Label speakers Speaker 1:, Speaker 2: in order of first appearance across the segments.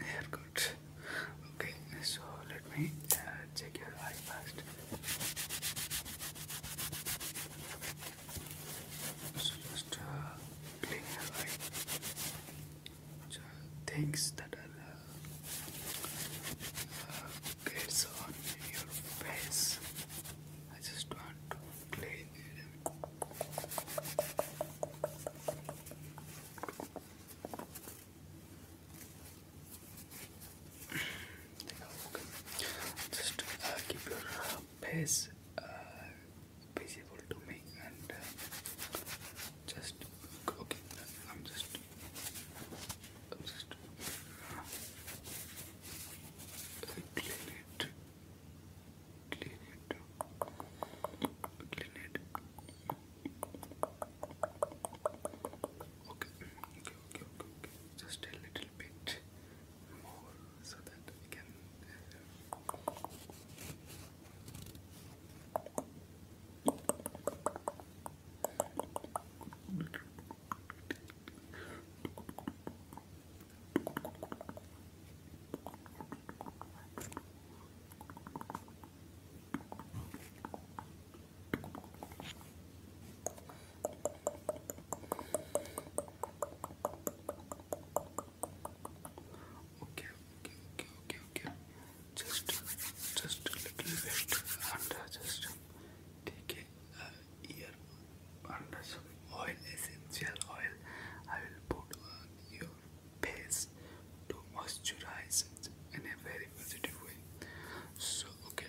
Speaker 1: haircut. Okay, so let me uh, check your eye first. just uh, clean your eye. So things that are uh, gets uh, on your face. I just want to just uh, keep your uh, pace uh, visible to me and uh, just clean it clean it, clean it. Okay, okay, okay, okay, Just a little bit more so that we can. Okay, okay, okay, okay, okay. Just, just a little bit, and just take uh, your under showing oil, essential oil. I will put on your face to moisturize it in a very positive way. So, okay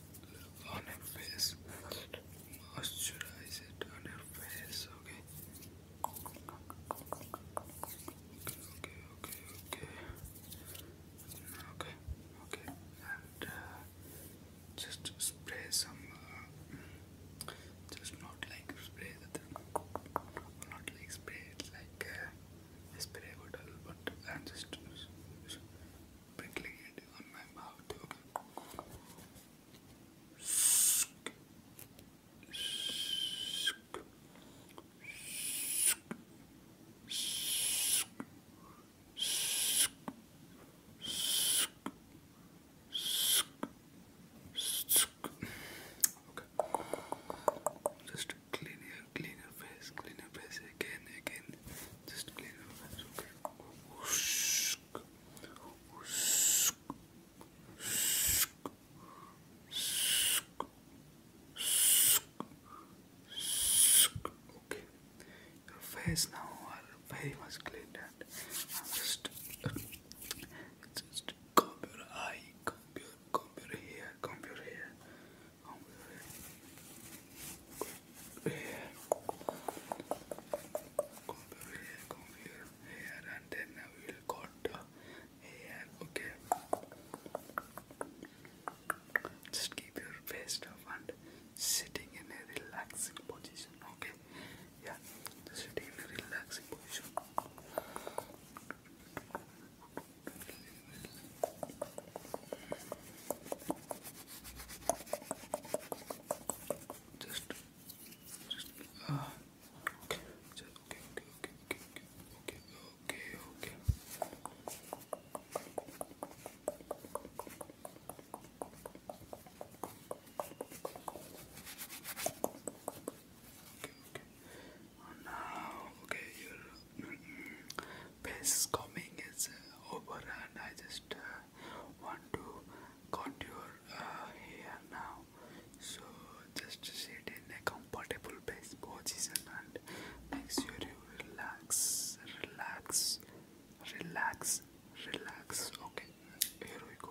Speaker 1: on your face, moisturize it on your face, okay? Okay, okay, okay, okay. Okay, and uh, just spray some. Uh, just not like spray the not like spray it like uh, a spray but uh, just sprinkling it Just clean your clean your face, clean your face again, again. Just clean your face, okay. Okay, your face now are very much cleaned I'm just, just uh, comb your eye, comb your, comb your hair, comb your Come here, come here, here, and then I will cut the okay? Just keep your face up and sitting in a relaxing position, okay? Yeah, sitting in a relaxing position. Just, just, uh, okay, just, okay, okay, okay, okay, okay, okay, okay. Okay, okay. Oh no, okay, your mm -mm. coming is over, and I just uh, want to contour uh, now so just sit in a comfortable base position and make sure you relax relax relax relax okay here we go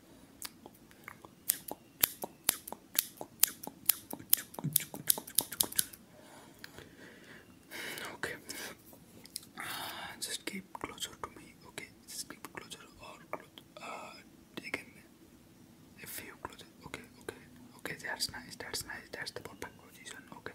Speaker 1: Okay. Uh, just keep closer to me. Okay. Just keep closer or close. Uh, again, a few closer. Okay. Okay. Okay. That's nice. That's nice. That's the perfect position. Okay.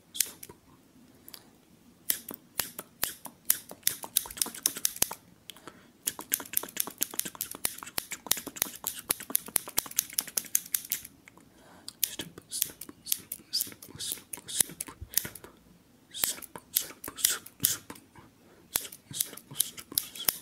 Speaker 1: Soup. Snoop, snoop, snoop, snoop, snoop, snoop, snoop, snoop, snoop, snoop, snoop, snoop, snoop,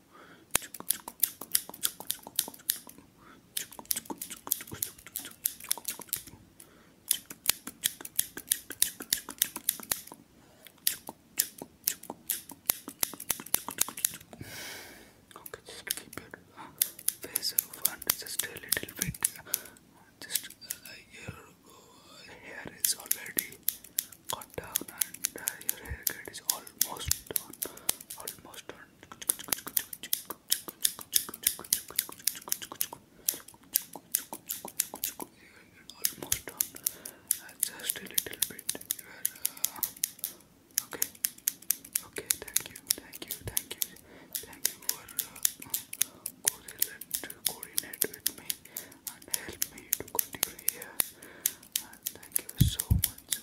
Speaker 1: Okay, just keep it uh, just a little bit. Uh, uh, your uh, hair is already cut down, and your haircut is all almost done. Almost done. Almost done. just a little bit. You are, uh, okay. Okay. Thank you. Thank you. Thank you. Thank you for uh, coordinate with me and help me to continue here. And thank you so much.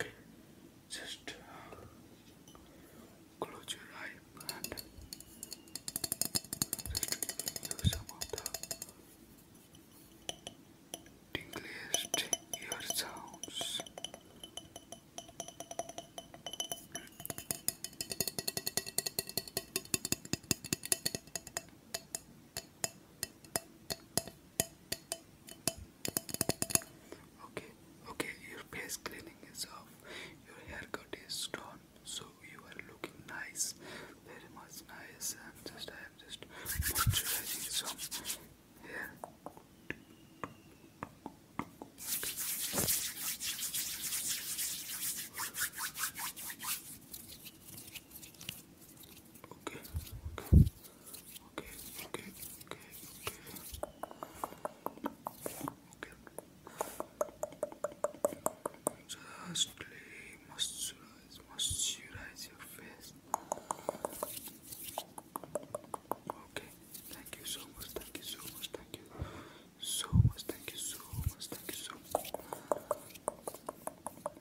Speaker 1: Okay, just uh, close your eye and just use some of the tingliest sounds. Okay, okay, your face cleaning is off, your haircut is done, so you are looking nice, very much nice. And just I am just moisturizing some hair. Okay. Okay. Okay. Okay. Okay. Okay. Lastly, moisturize, moisturize your face. Okay. Thank you so much. Thank you so much. Thank you so much. Thank you so much. Thank you so much.